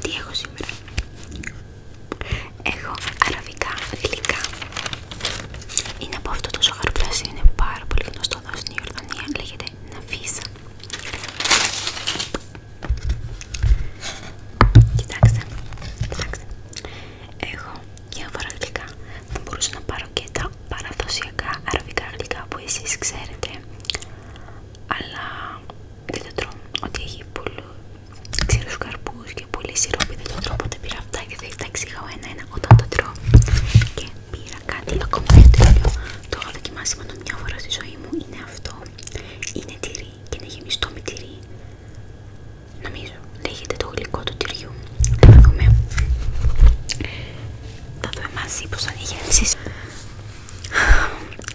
τι έχω σήμερα. Έχω αραβικά, γλυκά. Είναι από αυτό το ζαχαροπλάσι, είναι πάρα πολύ γνωστό εδώ στην Ιορδανία. Λέγεται Ναφίσα. κοίταξε. κοιτάξτε. Έχω διάφορα γλυκά. Θα μπορούσα να πάρω και τα παραδοσιακά αραβικά γλυκά που εσείς ξέρετε αλλά δεν το τρώω. Ότι έχει πολλού ξηρούς καρπού και πολύ σιρόπι δεν το τρώω. ποτέ πήρα αυτά και θα τα ενα ένα-ένα όταν το τρώω. Και πήρα κάτι ακόμα τέτοιο. Το έχω δοκιμάσει μόνο μια φορά στη ζωή μου. Είναι αυτό. Είναι τυρί και είναι γεμιστό με τυρί. Νομίζω λέγεται το γλυκό του τυριού. Θα δούμε. Θα δούμε μαζί πώ θα διαχειριστεί.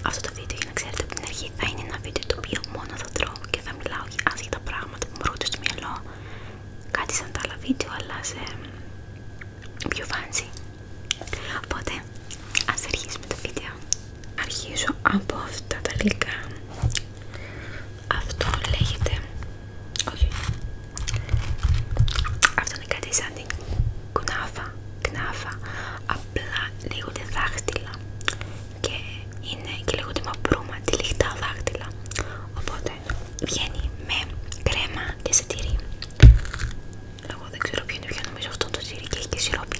Αυτό το βίντεο για να ξέρετε από την αρχή θα είναι ένα βίντεο το οποίο μόνο θα τρώω και θα μιλάω για άσχετα πράγματα που μου έρχονται στο μυαλό. Κάτι σαν τα άλλα βίντεο, αλλά σε πιο fancy. Οπότε ας αρχίσουμε το βίντεο. Αρχίζω από αυτά τα γλυκά. Αυτό λέγεται. Όχι, αυτό είναι κάτι σαν την κουνάφα, κνάφα, απλά λέγονται δάχτυλα και είναι και λέγονται τη τυλιχτά δάχτυλα. Οπότε βγαίνει με κρέμα και σε τυρί. Εγώ δεν ξέρω ποιο είναι νομίζω αυτό το τυρί και έχει και σιρόπι.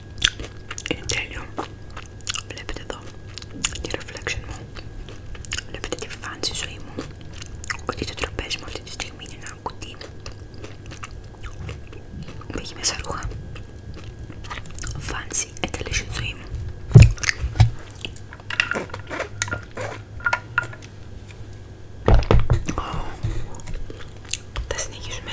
Είναι τέλειο. Βλέπετε εδώ τη reflection μου. Βλέπετε τη φάνση ζωή μου. Ότι το τραπέζι μου αυτή τη στιγμή είναι ένα κουτί. Που έχει μέσα ρούχα. Φάνση ετέλεσε τη ζωή μου. Θα συνεχίσουμε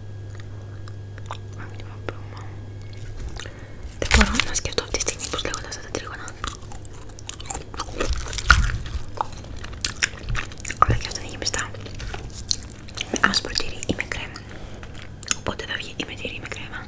Δεν μπορώ να σκεφτώ αυτή τη στιγμή πως λέγονται αυτά τα τρίγωνα αλλά και αυτό είναι γεμιστά με άσπρο τυρί ή με κρέμα οπότε θα βγει ή με τυρί με κρέμα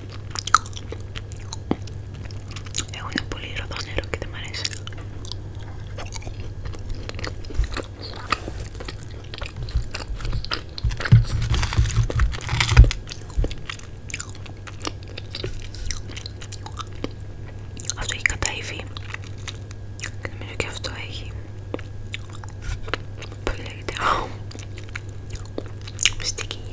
Έχουν πολύ ροδό νερό και δεν μ' αρέσει. Αυτό έχει καταηφεί και νομίζω και αυτό έχει. Πώς λέγεται. sticky.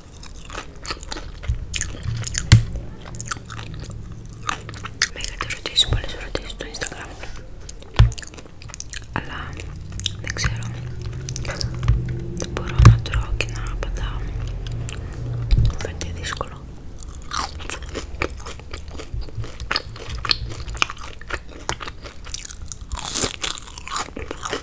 Με είχατε ρωτήσει πολλές ερωτήσεις στο Instagram αλλά δεν ξέρω δεν μπορώ να τρώω και να απαντάω φαίνεται δύσκολο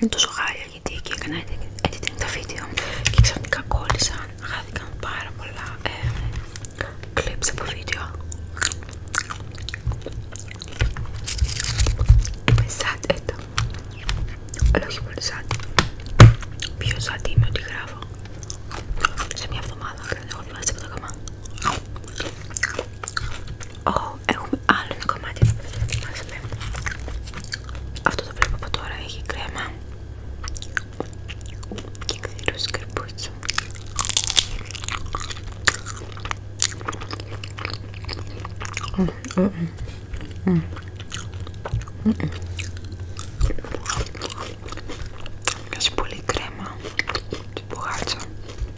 Είναι τόσο χάλια γιατί εκεί έκανα editing τα βίντεο και ξαφνικά κόλλησα, χάθηκαν πάρα πολλά ε, από βίντεο. Είμαι sad έτω, ε, αλλά όχι πολύ sad. Πιο sad είμαι ότι γράφω. Σε μια εβδομάδα, δεν έχω διαβάσει από τα καμά. Oh, έχουμε άλλο ένα κομμάτι Αυτό το βλέπω από τώρα έχει κρέμα και ξηρούς καρπούτσου mm, mm, mm. κρέμα του μπουγάτσα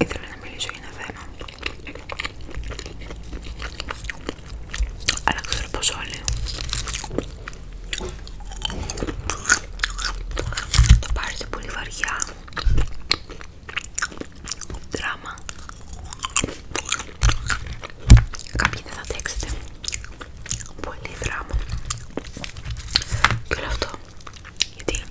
Ήθελα να μιλήσω για ένα θέμα. Αλλά ξέρω πως όλοι το πάρετε πολύ βαριά. Δράμα. Κάποιοι δεν θα αντέξετε. Πολύ δράμα. Και όλο αυτό. Γιατί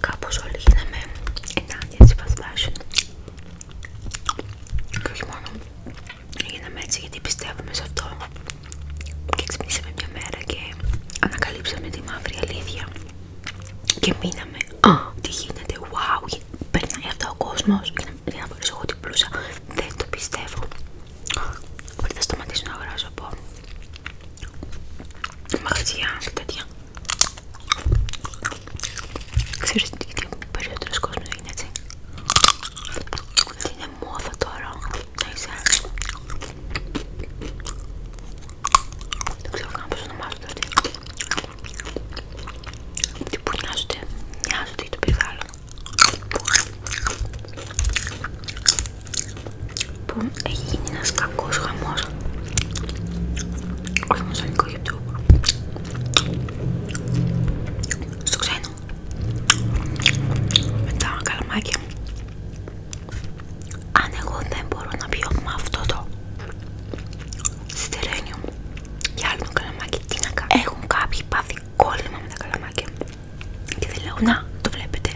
Κάπως όλοι γίναμε ενάντια στη fast fashion και όχι μόνο γίναμε έτσι γιατί πιστεύουμε σε αυτό και ξυπνήσαμε μια μέρα και ανακαλύψαμε τη μαύρη αλήθεια και μείναμε «Α, τι γίνεται, wow, περνάει αυτό ο κόσμος» και να φορέσω εγώ την πλούσα, δεν το πιστεύω Οπότε να σταματήσω να αγοράζω από τέτοια Ξέρεις τι περισσότερος κόσμος είναι έτσι. Τι είναι μόδα τώρα Δεν ξέρω καν πώς ονομάζονται Τι που νοιάζονται, νοιάζονται για το περιβάλλον που έχει γίνει ένας κακός χαμός όχι μόνο στο στο ξένο με τα καλαμάκια αν εγώ δεν μπορώ να πιω με αυτό το Στερένιο και άλλο καλαμάκι τι να κάνω έχουν κάποιοι πάθει κόλλημα με τα καλαμάκια και δεν λέω να το βλέπετε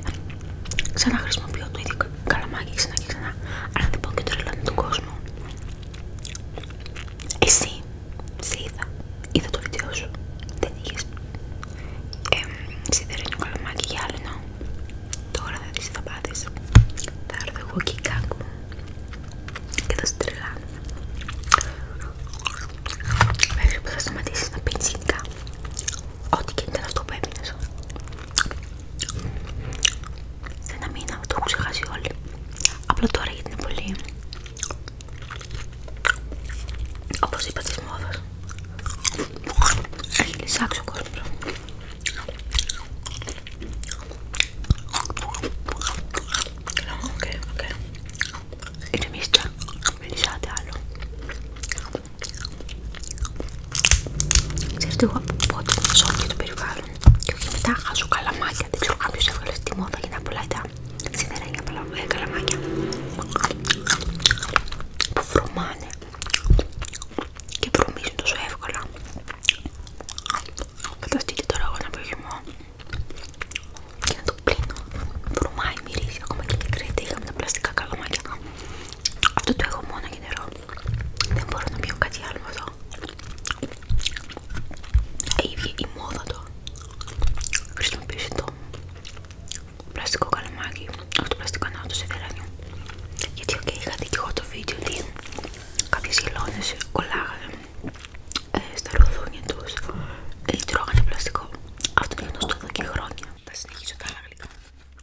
Ξαναχρησιμοποιώ το ίδιο καλαμάκι ξανά και ξανά. Αλλά δεν πω και το ρελάνι του κόσμου. Εσύ, σε είδα. Είδα το βίντεο σου. Δεν είχε. Ε, σιδερένιο καλαμάκι γυάλινο. Τώρα θα δεις θα πάθεις. Θα έρθω εγώ και η κάκου και θα στρελάνω. Μέχρι που θα σταματήσεις να πίνεις Ό,τι και ήταν αυτό που έμεινε. Σε ένα μήνα το έχουν ξεχάσει όλοι. Απλά τώρα γιατί είναι πολύ. Όπω είπα τη μόδα. Έχει λυσάξει ο κόσμο. Οκ, οκ. Είναι μίστρα. Μην λυσάτε άλλο. Ξέρετε, εγώ από πότε ζω και το περιβάλλον και όχι μετά χάζω καλαμάκια. Δεν ξέρω κάποιο έβγαλε στη μόδα για να πουλάει τα σιδερένια ε, καλαμάκια που βρωμάνε και βρωμίζουν τόσο εύκολα. φανταστείτε τώρα εγώ να πω χυμό και να το πλύνω. Βρωμάει, μυρίζει ακόμα και την κρέτη Είχαμε τα πλαστικά καλαμάκια. Αυτό το έχω μόνο για νερό. Δεν μπορώ να πιω κάτι άλλο εδώ. ιδια ε, η μόδα το. Χρησιμοποιήσει το πλαστικό καλαμάκι. Αυτό το πλαστικό να το σε δεράνιο. Γιατί okay, είχα δει και εγώ το βίντεο ότι κάποιε χελώνε κολλάγανε ε, στα ροδούνια του. Ε, τρώγανε πλαστικό. Αυτό το γνωστό εδώ και χρόνια. Θα συνεχίσω τα άλλα γλυκά.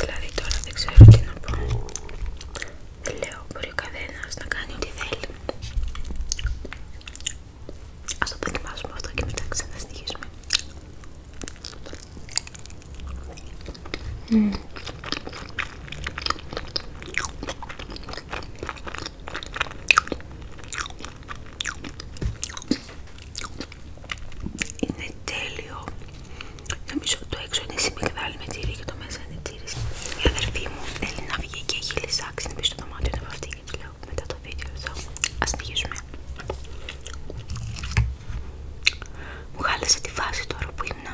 Δηλαδή τώρα δεν ξέρω τι να πω. Δεν Λέω μπορεί ο καθένα να κάνει ό,τι θέλει. Α το δοκιμάσουμε αυτό και μετά ξαναστοιχίσουμε. Mm είναι τέλειο. Νομίζω το έξω είναι συμμυγδάλι με τύρι και το μέσα είναι τύρι. Η αδερφή μου θέλει να βγει και έχει λησάξει να μπει στο δωμάτιο είναι βαφτεί και λέω μετά το βίντεο εδώ. Α συνεχίσουμε. Μου χάλασε τη φάση τώρα που ήμουν.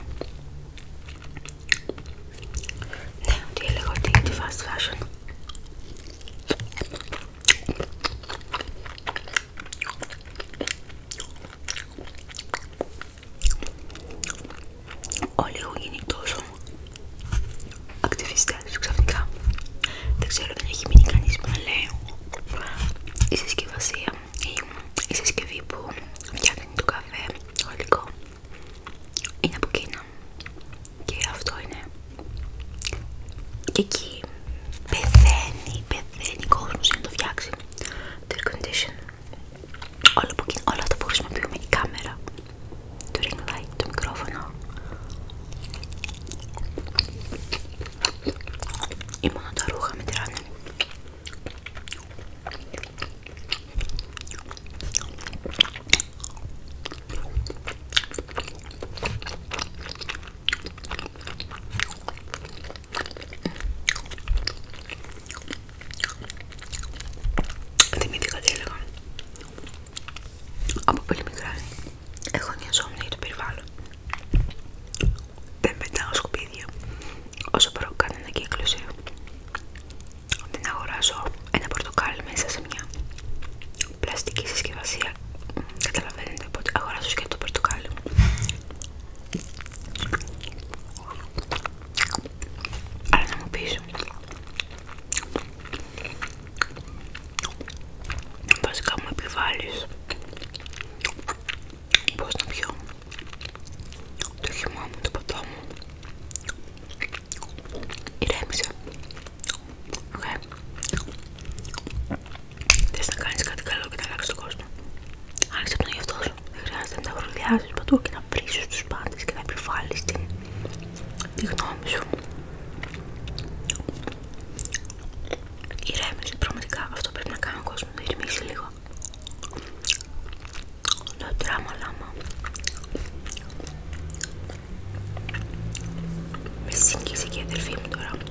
Ναι, ότι έλεγα ότι είναι τη φάση fashion. Όλοι έχουν γίνει τόσο ακτιβιστές ξαφνικά. Δεν ξέρω, αν έχει μείνει κανείς που να λέει η συσκευασία ή η συσκευή που φτιάχνει το καφέ, το υλικό είναι από Κίνα και αυτό είναι και εκεί Πεθαίνει, πεθαίνει κόσμος για να το φτιάξει το air condition. Όλα, τα αυτά που χρησιμοποιούμε, η κάμερα, το ring light, το μικρόφωνο. Ή μόνο τα ρούχα με Θυμήθηκα τι έλεγα. Από πολύ μικρά έχω νοιαζόμουν για το περιβάλλον. Δεν πετάω σκουπίδια όσο μπορώ κάνω ανακύκλωση. Δεν αγοράζω ένα πορτοκάλι μέσα σε μια πλαστική συσκευασία και καταλαβαίνετε οπότε αγοράζω και το πορτοκάλι Άρα, να μου πεις βασικά μου επιβάλλεις πως να πιω το χυμό μου, το ποτό μου ηρέμησε Οκ. Θες να κάνεις κάτι καλό και να αλλάξεις τον κόσμο. Άνοιξε τον εαυτό σου. Δεν χρειάζεται να τα βρουδιάζεις παντού και να βρίσεις τους πάντες και να επιβάλλεις τη γνώμη σου. Ηρέμησε, πραγματικά αυτό πρέπει να κάνει ο κόσμο. Να ηρεμήσει λίγο. Το τράμα λάμα. Με σύγκρισε και η αδερφή μου τώρα.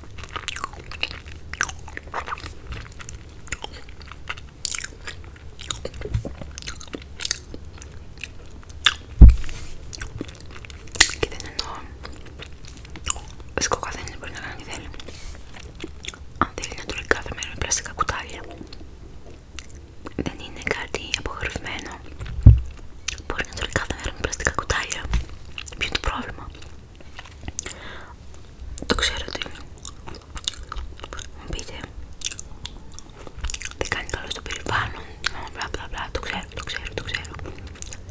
Και δεν εννοώ. Φυσικά δεν μπορεί να κάνει τι θέλει. Αν θέλει να τρώει κάθε μέρα με πλαστικά κουτάλια, δεν είναι κάτι απογορευμένο. Μπορεί να τρώει κάθε μέρα με πλαστικά κουτάλια. Ποιο είναι το πρόβλημα. Το ξέρω τι είναι. Μου πείτε, δεν κάνει καλό στο περιβάλλον. Μπλα μπλα μπλα. Το ξέρω, το ξέρω, το ξέρω.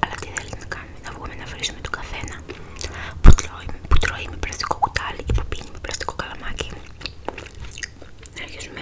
Αλλά τι θέλει να κάνει. να βγούμε να βρίσουμε τον καθένα που τρώει, που τρώει με πλαστικό κουτάλι ή που πίνει με πλαστικό καλαμάκι. Να αρχίσουμε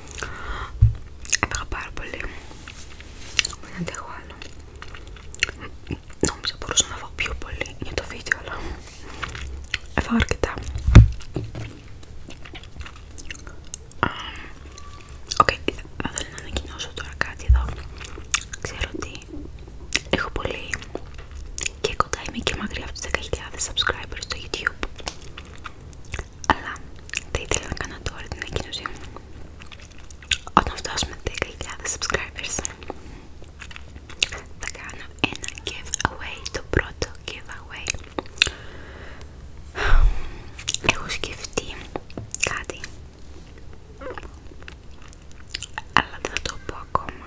Έπαγα πάρα πολύ. Δεν αντέχω άλλο. Νόμιζα μπορούσα να φάω πιο πολύ για το βίντεο, αλλά έφαγα αρκετά. Οκ, θα ήθελα να ανακοινώσω τώρα κάτι εδώ. Ξέρω ότι έχω πολύ και κοντά είμαι και μακριά από τους 10.000 subscribers στο YouTube αλλά θα ήθελα να κάνω τώρα την ανακοίνωση όταν φτάσουμε 10.000 subscribers θα κάνω ένα giveaway, το πρώτο giveaway έχω σκεφτεί κάτι αλλά δεν θα το πω ακόμα.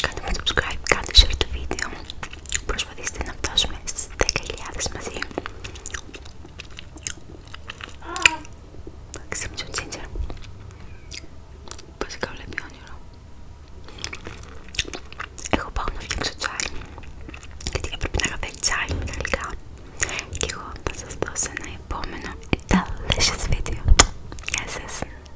Κάντε με subscribe, κάντε share το βίντεο. Προσπαθήστε να φτάσουμε στις 10.000 μαζί. Εντάξει, μισό τσίντζερ. Βασικά βλέπει όνειρο. Εγώ πάω να φτιάξω τσάι. Γιατί έπρεπε να καφέ τσάι με τα γλυκά. Και εγώ θα σας δώσω ένα επόμενο delicious video. Γεια σας.